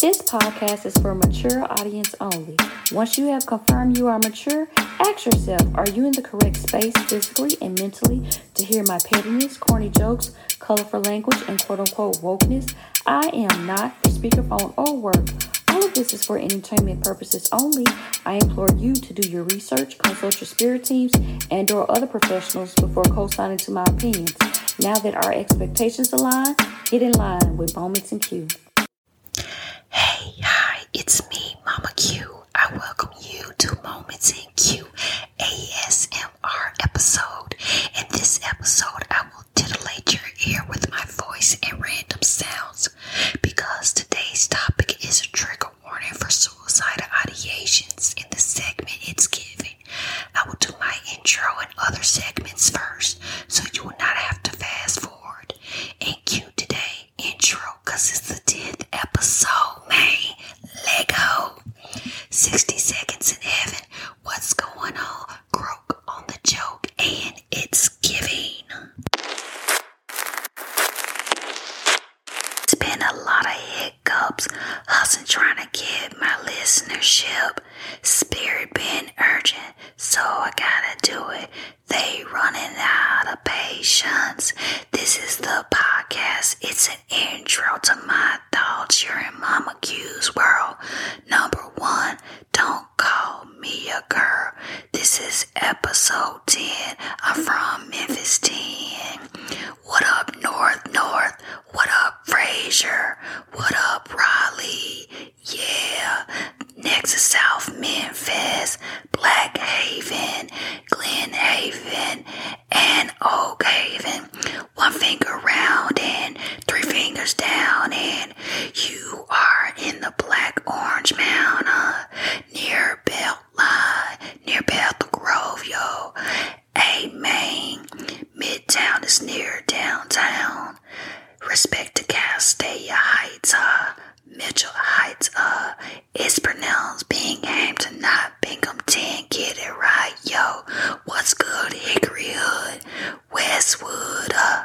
This podcast is for mature audience only. Once you have confirmed you are mature, ask yourself, are you in the correct space physically and mentally to hear my pettiness, corny jokes, colorful language, and quote unquote wokeness? I am not for speakerphone or work. All of this is for entertainment purposes only. I implore you to do your research, consult your spirit teams and or other professionals before co-signing to my opinions. Now that our expectations align, Get in line with Moments and Q. Hey, hi, it's me, Mama Q. I welcome you to Moments in Q ASMR episode. In this episode, I will titillate your ear with my voice and random sounds because today's topic is a trigger warning for suicidal ideations in the segment it's given. I will do my intro and other segments first so you will not have to fast forward and cue today intro because it's the 10th episode, man. Lego. 60 seconds in heaven. What's going on? Grok on the joke and it's giving. It's been a lot of hiccups, hustling trying to get my listenership Spirit being urgent, so I gotta do it. They running out of patience. This is the podcast. It's an intro to my thoughts. You're in Mama Q's world. Number one, don't call me a girl. This is episode 10. I'm from Memphis 10. What up, North North? What up, Frazier? What up, Riley? Yeah. next to South Memphis, Black Haven, Glen Haven, and Oak Haven. One finger round and three fingers down, and you are in the Black Orange Mountain, uh, near Beltline, uh, near Bethel Grove, yo. Amen. Midtown is near downtown. Respect to Castalia Heights, uh, Mitchell Heights, uh, it's pronounced Binghamton, not Binghamton. Get it right, yo. What's good, Hickory Hood, Westwood, uh,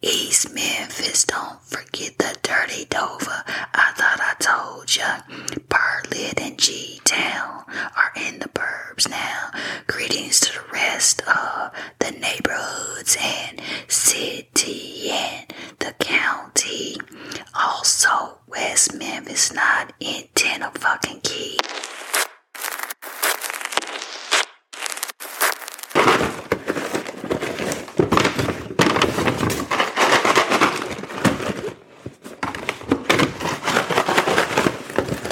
East Memphis. Don't forget the dirty Dover. I thought I told ya. Bartlett and G detail are in the burbs now. Greetings to the rest of the neighborhoods and city and the county. Also, West Memphis not in ten of fucking key.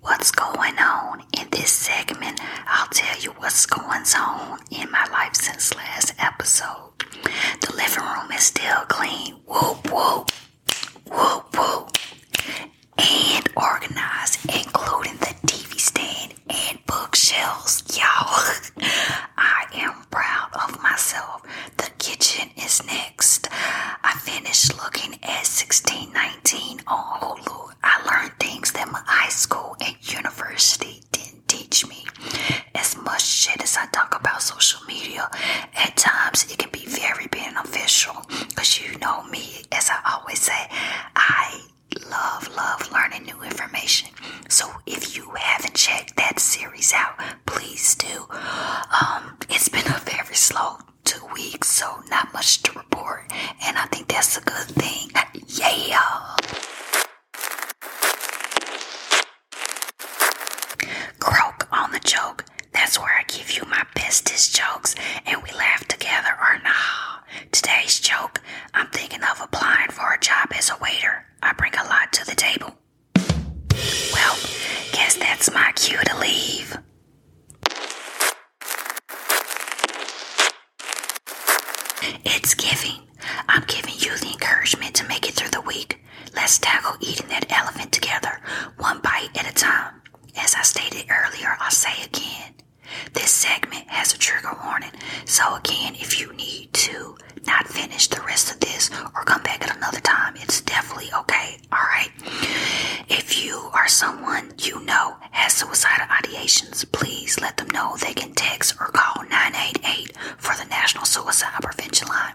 What's going on? In this segment, I'll tell you what's going on in my life since last episode. The living room is still clean. Whoop, whoop, whoop, whoop. And organized, including the TV stand and bookshelves. Y'all, I am proud of myself. The kitchen is next. I finished looking at 1619 on Hulu. I learned things that my high school and university didn't teach me. As much shit as I talk about social media, at times it can be very beneficial. Because you know me, as I always say, I love, love learning new information so if you haven't checked that series out, please do. Um, it's been a very slow two weeks, so not much to report, and I think that's a good thing. Yeah. Croak on the joke. That's where I give you my bestest jokes and we laugh together or nah. Today's joke, I'm thinking of applying for a job as a waiter. I bring a lot to the table. Well, guess that's my cue to leave. It's giving. I'm giving you the encouragement to make it through the week. Let's tackle eating that elephant together, one bite at a time. As I stated earlier, I'll say again. This segment has a trigger warning, so again, if you need to, not finish the rest of this or come back at another time, it's definitely okay. All right. If you are someone you know has suicidal ideations, please let them know they can text or call 988 for the National Suicide Prevention Line.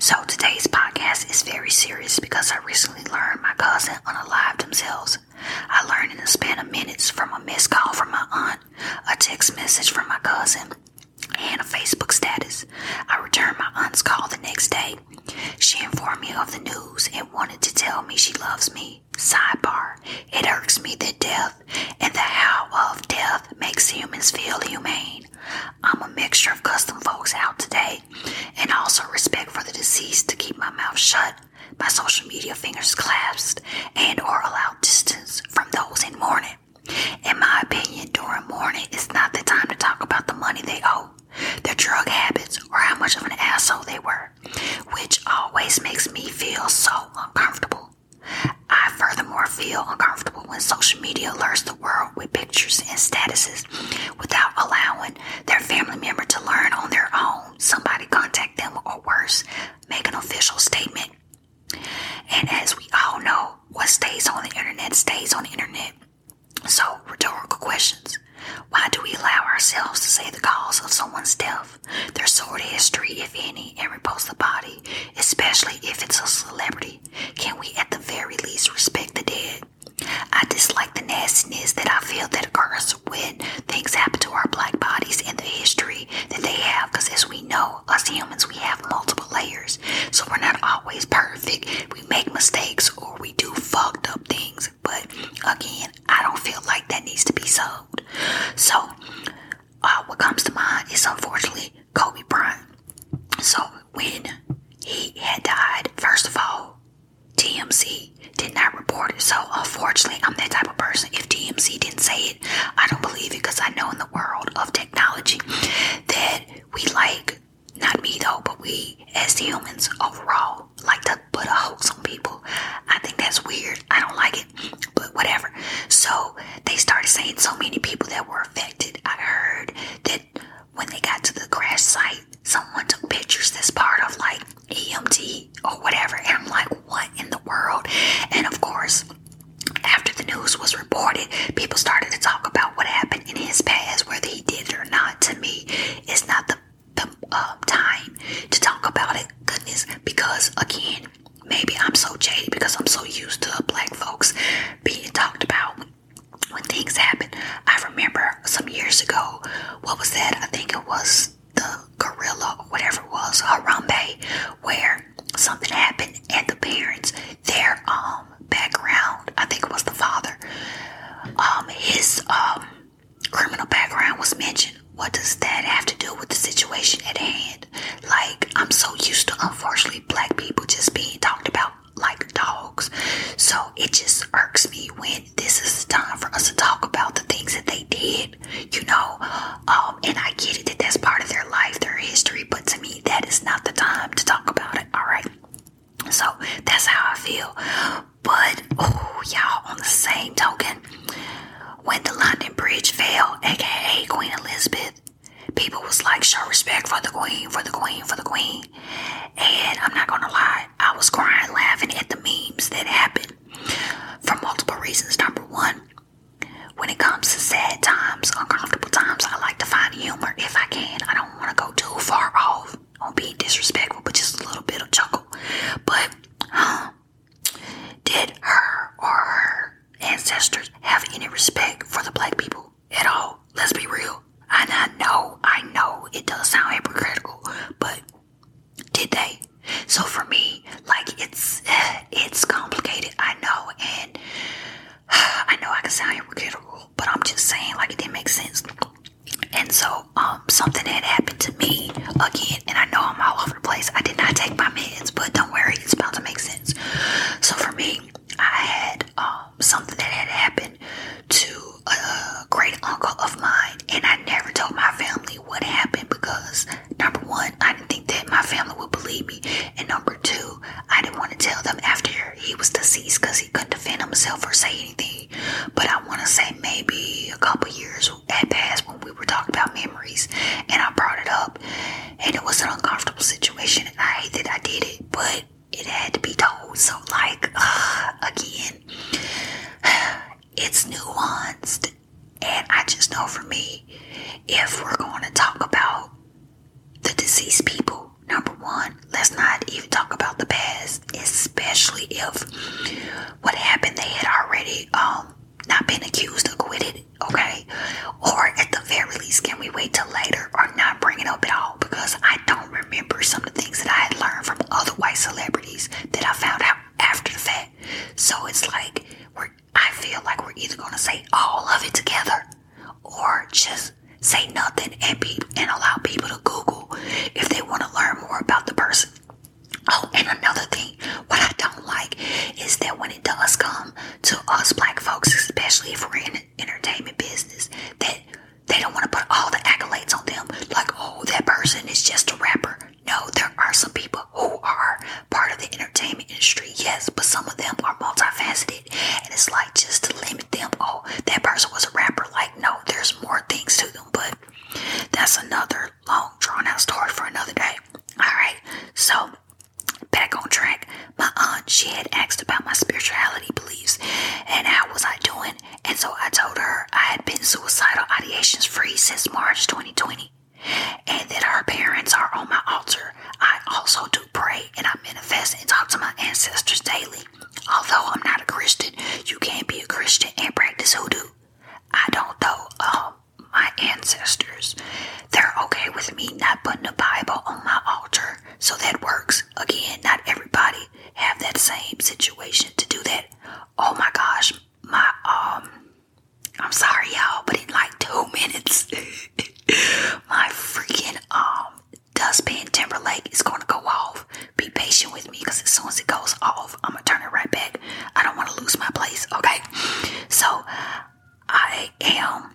So today's podcast is very serious because I recently learned my cousin unalived themselves. I learned in the span of minutes from a missed call from my aunt, a text message from my cousin, and a Facebook status. I returned my aunt's call the next day. She informed me of the news and wanted to tell me she loves me. Sidebar, it irks me to death and the how of death makes humans feel humane. I'm a mixture of custom folks out today and also respect for the deceased to keep my mouth shut, my social media fingers clasped, and or allow distance from those in mourning. In my opinion, during mourning, it's not the time to talk about the money they owe, their drug habits, or how much of an asshole they were, which always makes me feel so uncomfortable. I furthermore feel uncomfortable when social media alerts the world with pictures and statuses without allowing their family member to learn on their own. Somebody contact them or worse, make an official statement and as we all know, what stays on the internet stays on the internet. So, rhetorical questions. Why do we allow ourselves to say the cause of someone's death, their sordid history, if any, and repose the body, especially if it's a celebrity? Can we at the very least respect the dead? I dislike the nastiness that I feel that occurs when things happen to our black bodies in the history that they have because as we know us humans we have multiple layers so we're not always perfect we make mistakes or we do fucked up things but again i don't feel like that needs to be solved. so uh, what comes to mind is unfortunately kobe bryant so when he had died first of all tmc did not report it so unfortunately i'm that type of person if tmc didn't say it. I don't believe it because I know in the world of technology that we like, not me though, but we as humans overall like to put a hoax on people. I think that's weird. I don't like it, but whatever. So they started saying so many people that were affected. I heard that when they got to the crash site, someone took pictures This part of like EMT or whatever. And I'm like, what in the world? And of course, after the news was reported, people started to talk about what happened in his past, whether he did it or not. To me, it's not the, the um, time to talk about it, goodness, because again, maybe I'm so jaded because I'm so used to black folks being talked about when things happen. I remember some years ago, what was that? I think it was the gorilla or whatever it was, Harambe, where something happened and the parents, their um background, I think it was the father, um, his um criminal background was mentioned. What does that have to do with the situation at hand? Like, I'm so used to unfortunately black people just being talked about like dogs. So it just irks me when this is time for us to talk about the things that they did you know, um, and I get it that that's part of their life, their history, but to me, that is not the time to talk about it, all right? So that's how I feel. But, oh, y'all, on the same token, when the London Bridge fell, aka Queen Elizabeth, people was like, show respect for the Queen, for the Queen, for the Queen. And I'm not gonna lie, I was crying, laughing at the memes that happened for multiple reasons. Number one, when it comes to sad times, uncomfortable times, I like to find humor if I can. I don't want to go too far off on being disrespectful, but just a little bit of chuckle. But huh, did her or her ancestors have any respect for the black people at all? Let's be real. And I know, I know it does sound hypocritical, but did they? So for me, like it's eh, it's complicated, I know, and I know I can sound hypocritical, but I'm just saying like it didn't make sense. And so, um, something had happened to me again, and I know I'm all over the place. I did not take my meds, but don't worry, it's about to make sense. So for me, I had um something that had happened to a great uncle of mine, and I never told my family what happened because number one, I didn't think that my family would believe me. And number two, I didn't want to tell them after he was deceased because he couldn't defend himself or say anything. But I want to say maybe a couple years had passed when we were talking about memories and I brought it up. And it was an uncomfortable situation. And I hate that I did it, but it had to be told. So, like, again, it's nuanced and I just know for me, if we're going to talk about the deceased people, number one, let's not even talk about the past, especially if what happened they had already um not been accused or acquitted, okay? Or at the very least, can we wait till later or not bring it up at all? Because I don't remember some of the things that I had learned from other white celebrities that I found out after the fact. So it's like we're I feel like we're either gonna say all of it together or just say nothing and be and allow people to Google if they want to learn more about the person. Oh, and another thing, what I don't like is that when it does come to us black folks, especially if we're in entertainment business, that they don't want to put all the accolades on them. Like, oh, that person is just a rapper. No, there are some people who are part of the entertainment industry, yes, but some of them are multifaceted, and it's like just to limit them. Oh, that person was a rapper. Like, no, there's more things to them, but that's another long, drawn out story for another day. All right, so back on track. My aunt, she had asked about my spirituality beliefs and how was I doing. And so I told her I had been suicidal ideations free since March 2020 and that our parents are on my altar. I also do pray and I manifest and talk to my ancestors daily. Although I'm not a Christian, you can't be a Christian and practice hoodoo. I don't know um, my ancestors. They're okay with me not putting the Bible on my altar, so that works. Again, not everybody have that same situation to do that. Oh my gosh, my um I'm sorry y'all, but in like two minutes my freaking um dustpan Timberlake is gonna go off. Be patient with me because as soon as it goes off, I'm gonna turn it right back. I don't wanna lose my place, okay? So I am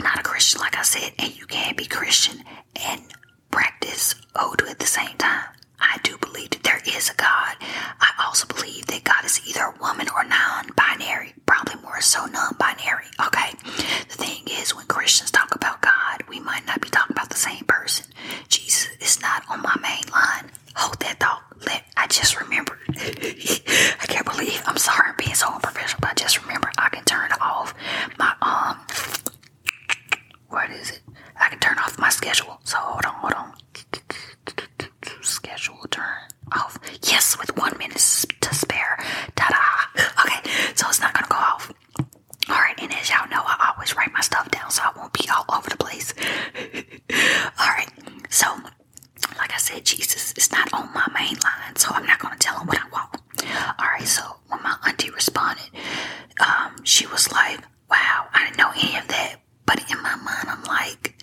not a Christian, like I said, and you can not be Christian and practice Odu at the same time. I do believe that there is a God. I also believe that God is either woman or non binary, probably more so non binary. Okay, the thing is, when Christians talk about God, we might not be talking about the same person. Jesus is not on my main line. Hold that thought. Let, I just remember. I can't believe I'm sorry I'm being so unprofessional, but just remember I can turn off my um. What is it? I can turn off my schedule. So hold on, hold on schedule turn off. Yes, with one minute to spare. Ta-da! Okay, so it's not gonna go off. Alright, and as y'all know, I always write my stuff down so I won't be all over the place. Alright, so like I said, Jesus is not on my main line, so I'm not gonna tell him what I want. Alright, so when my auntie responded, um, she was like, Wow, I didn't know any of that. But in my mind, I'm like,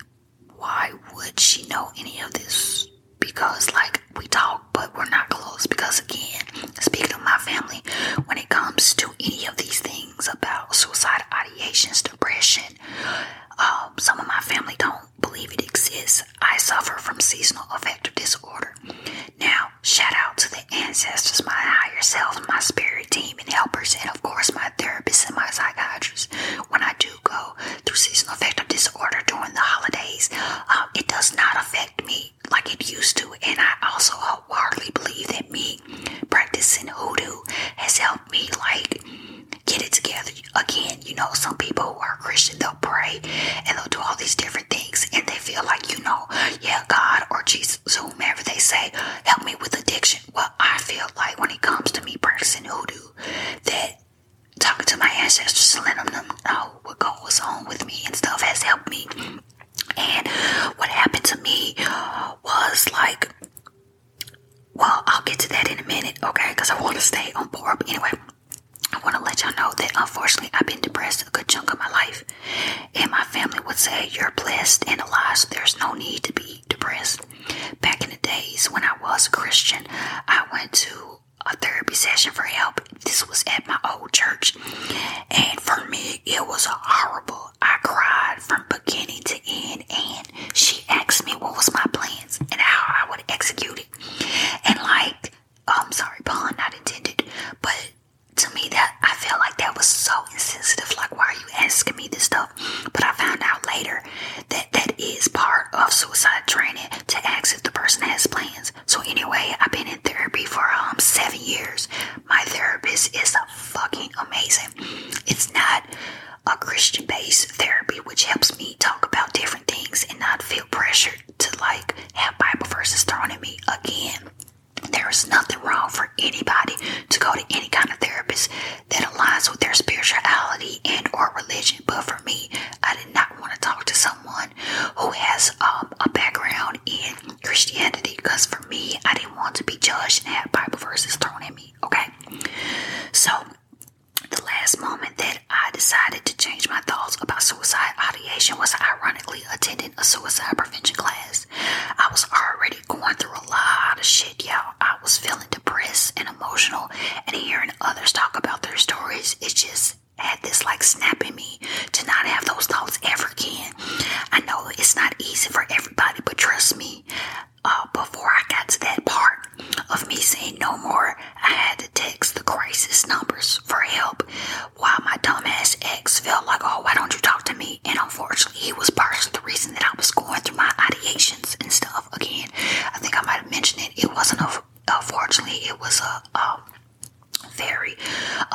why would she know any of this? Because, like, we talk, but we're not close. Because, again, speaking of my family, when it comes to any of these things about suicide ideations, depression, um, some of my family don't believe it exists. I suffer from seasonal affective disorder. Now, shout out to the ancestors, my higher self, my spirit team, and helpers, and of course, my my therapist and my psychiatrist when I do go through seasonal affective disorder during the holidays. Um, it does not affect me like it used to, and I also wholeheartedly believe that me practicing hoodoo has helped me like get it together again. You know, some people who are Christian they'll pray and they'll do all these different things, and they feel like you know, yeah, God or Jesus, whomever they say, help me with addiction. Well, I feel like when it comes to me practicing hoodoo, that talking to my ancestors letting them know what goes on with me and stuff has helped me. And what happened to me was like, well, I'll get to that in a minute, okay? Because I want to stay on board. But anyway, I want to let y'all know that unfortunately I've been depressed a good chunk of my life. And my family would say, You're blessed and alive, there's no need to be depressed Back in the days when I was a Christian, I went to a therapy session for help. This was at my old church. And for me, it was horrible. I cried from beginning to end. And she asked me what was my plans and how I would execute it. And like, oh, I'm sorry, pun not intended, but to me that I felt like that was so insensitive. Like, why are you asking me this stuff? But I found out later that that is part of suicide training to ask if the person has plans. So anyway, I've been in therapy for um seven years. My therapist is fucking amazing. It's not a Christian-based therapy, which helps me talk about different things and not feel pressured to like have Bible verses thrown at me again. There is nothing wrong for anybody to go to any kind of therapist that aligns with their spirituality and or religion. But for me, I did not want to talk to someone who has um, a background in Christianity because for me, I didn't want to be judged and have Bible verses thrown at me. Okay, so the last moment that I decided to change my thoughts about suicide ideation was ironically attending a suicide prevention class. I was already going through a lot of shit, y'all. I was feeling depressed and emotional, and hearing others talk about their stories, it just had this like snapping me to not have those thoughts ever again. I know it's not easy for everybody, but trust me, uh, before I got to that part of me saying no more, I had to text the crisis numbers for help while my dumbass ex felt like, oh, why don't you talk to me? And unfortunately, he was part of the reason that I was going through my ideation and stuff. Again, I think I might have mentioned it. It wasn't a, unfortunately, it was a um, very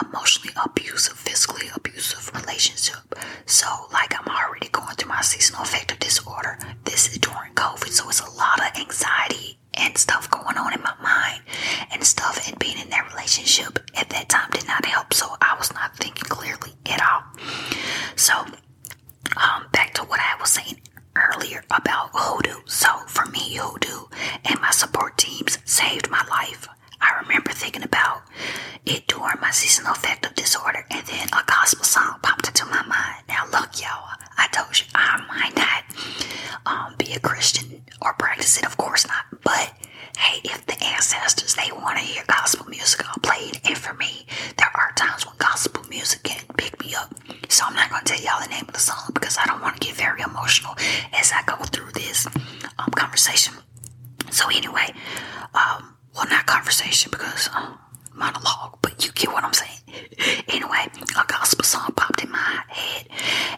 emotionally abusive, physically abusive relationship. So, like, I'm already going through my seasonal affective disorder. This is during COVID, so it's a lot of anxiety and stuff going on in my mind and stuff. And being in that relationship at that time did not help, so I was not thinking clearly at all. So, um, back to what I was saying earlier about hoodoo. So for me, hoodoo and my support teams saved my life. I remember thinking about it during my seasonal affective disorder, and then a gospel song popped into my mind. Now, look, y'all, I told you I might not um, be a Christian or practice it, of course not. But hey, if the ancestors they want to hear gospel music all played, it for me, there are times when gospel music can pick me up. So I'm not going to tell y'all the name of the song because I don't want to get very emotional as I go through this um, conversation. So anyway, um, well, not conversation because um, monologue, but you get what I'm saying. anyway, a gospel song popped in my head,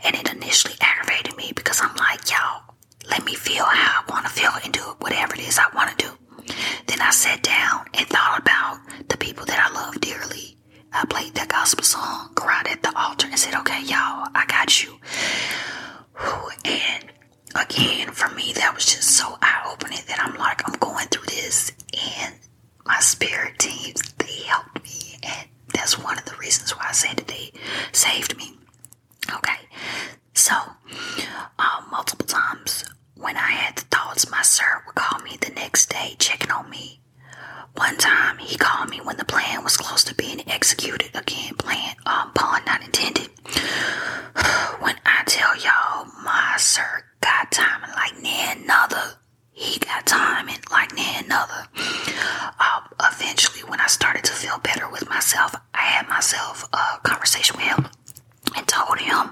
and it initially aggravated me because I'm like, y'all, let me feel how I want to feel and do whatever it is I want to do. Then I sat down and thought about the people that I love dearly. I played that gospel song, cried at the altar, and said, Okay, y'all, I got you. And again, for me, that was just so eye opening that I'm like, I'm going through this, and my spirit teams, they helped me. And that's one of the reasons why I said that they saved me. Okay, so, uh, multiple times when I had the thoughts, my sir would call me the next day checking on me. One time, he called me when the plan was close to being executed. Again, plan, um, pun not intended. when I tell y'all, my sir got timing like none other. He got timing like none other. Uh, um, eventually, when I started to feel better with myself, I had myself a conversation with him and told him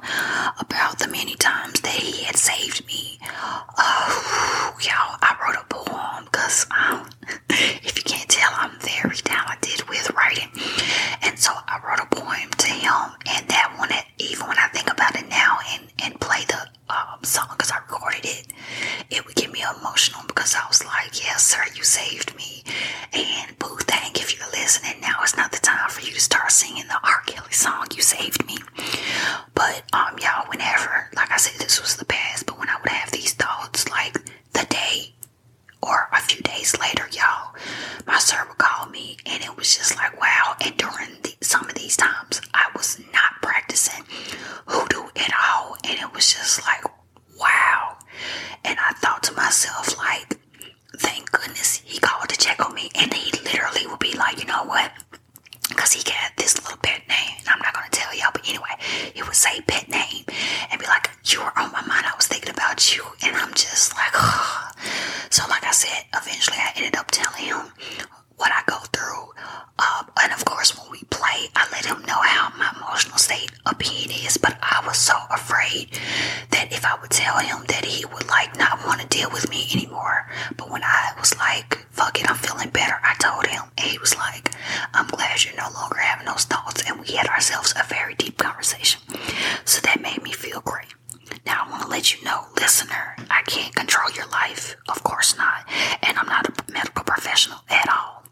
about the many times that he had saved me. Uh, y'all, I wrote a poem because um, if you can't tell, I'm very talented with writing. And so I wrote a poem to him, and that one, even when I think about it now and, and play the um, song because I recorded it, it would get me emotional because I was like, Yes, sir, you saved me. And Boo Thang, if you're listening, now it's not the time for you to start singing the R. Kelly song, You Saved Me. But, um, y'all, whenever, like I said, this was the past, but when I would have these thoughts, like the day or a few days later, y'all, my sir would call me and it was just like, wow. And during some of these times, I was not practicing hoodoo at all. And it was just like, wow. And I thought to myself, like, thank goodness he called to check on me, and he literally would be like, you know what? Because he got this little pet name, and I'm not going to tell y'all, but anyway, he would say pet name and be like, You were on my mind, I was thinking about you, and I'm just like, So, like I said, eventually I ended up telling him what I go through. Um, and of course, when we play, I let him know how my emotional state a pain is, but I was so afraid that if I would tell him that he would like not want to deal with me anymore. But when I was like, fuck it, I'm feeling better, I told him. And he was like, I'm glad you're no longer having those thoughts. And we had ourselves a very deep conversation. So that made me feel great. Now, I want to let you know, listener, I can't control your life. Of course not. And I'm not a medical professional at all.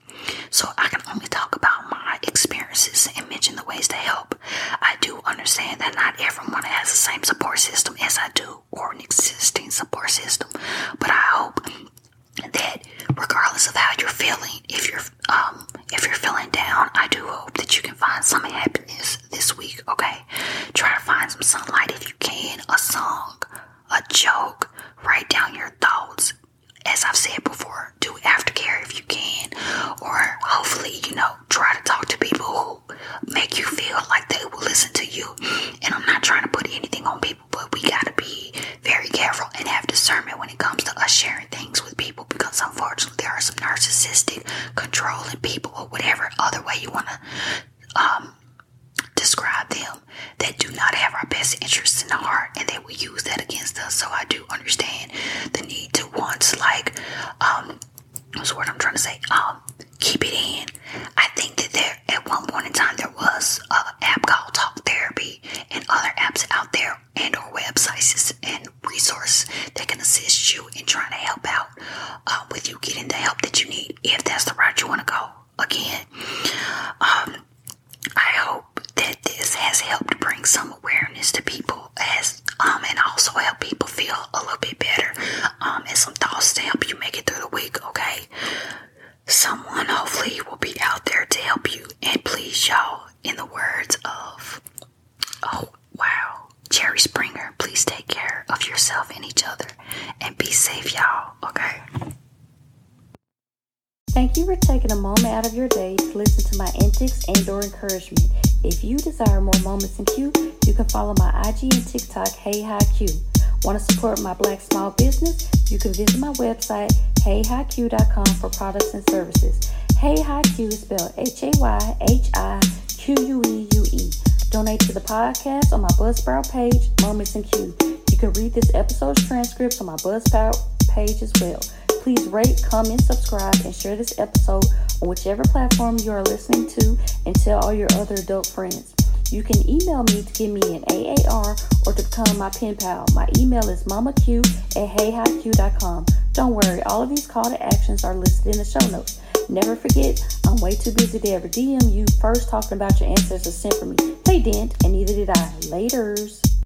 So I can I'm talk about my experiences and mention the ways to help. I do understand that not everyone has the same support system as I do or an existing support system, but I hope that regardless of how you're feeling, if you're um if you're feeling down, I do hope that you can find some happiness this week, okay? Try to find some sunlight if you can, a song, a joke, write down your thoughts, as I've said before, do aftercare if you can, or hopefully, you know, try to talk to people who make you feel like they will listen to you. And I'm not trying to put anything on people, but we gotta be very careful and have discernment when it comes to us sharing things with people because unfortunately, there are some narcissistic, controlling people, or whatever other way you wanna um, describe them that do not have our best interests in the heart and they will use that against us. So I do understand the need to wants like um what's word I'm trying to say? Um keep it in. I think that there at one point in time there was a app called Talk Therapy and other apps out there and or websites and resource that can assist you in trying to help out um, with you getting the help that you need if that's the route you want to go again. Um I hope that this has helped bring some awareness to people as um, and also help people feel a little bit better. Um, and some thoughts to help you make it through the week, okay? Someone hopefully will be out there to help you and please y'all in the words of Oh wow, Cherry Springer, please take care of yourself and each other and be safe y'all, okay? Thank you for taking a moment out of your day to listen to my antics and or encouragement. If you desire more moments in Q, you can follow my IG and TikTok, Hey Hi Q. Want to support my black small business? You can visit my website, heyhiq.com for products and services. Hey Hi Q is spelled H-A-Y-H-I-Q-U-E-U-E. Donate to the podcast on my Buzzsprout page, Moments in Q. You can read this episode's transcript on my Buzzsprout page as well. Please rate, comment, subscribe, and share this episode on whichever platform you are listening to and tell all your other adult friends. You can email me to give me an AAR or to become my pen pal. My email is mamaq at heyhiq.com. Don't worry, all of these call to actions are listed in the show notes. Never forget, I'm way too busy to ever DM you first talking about your ancestors sent for me. They did and neither did I. Laters.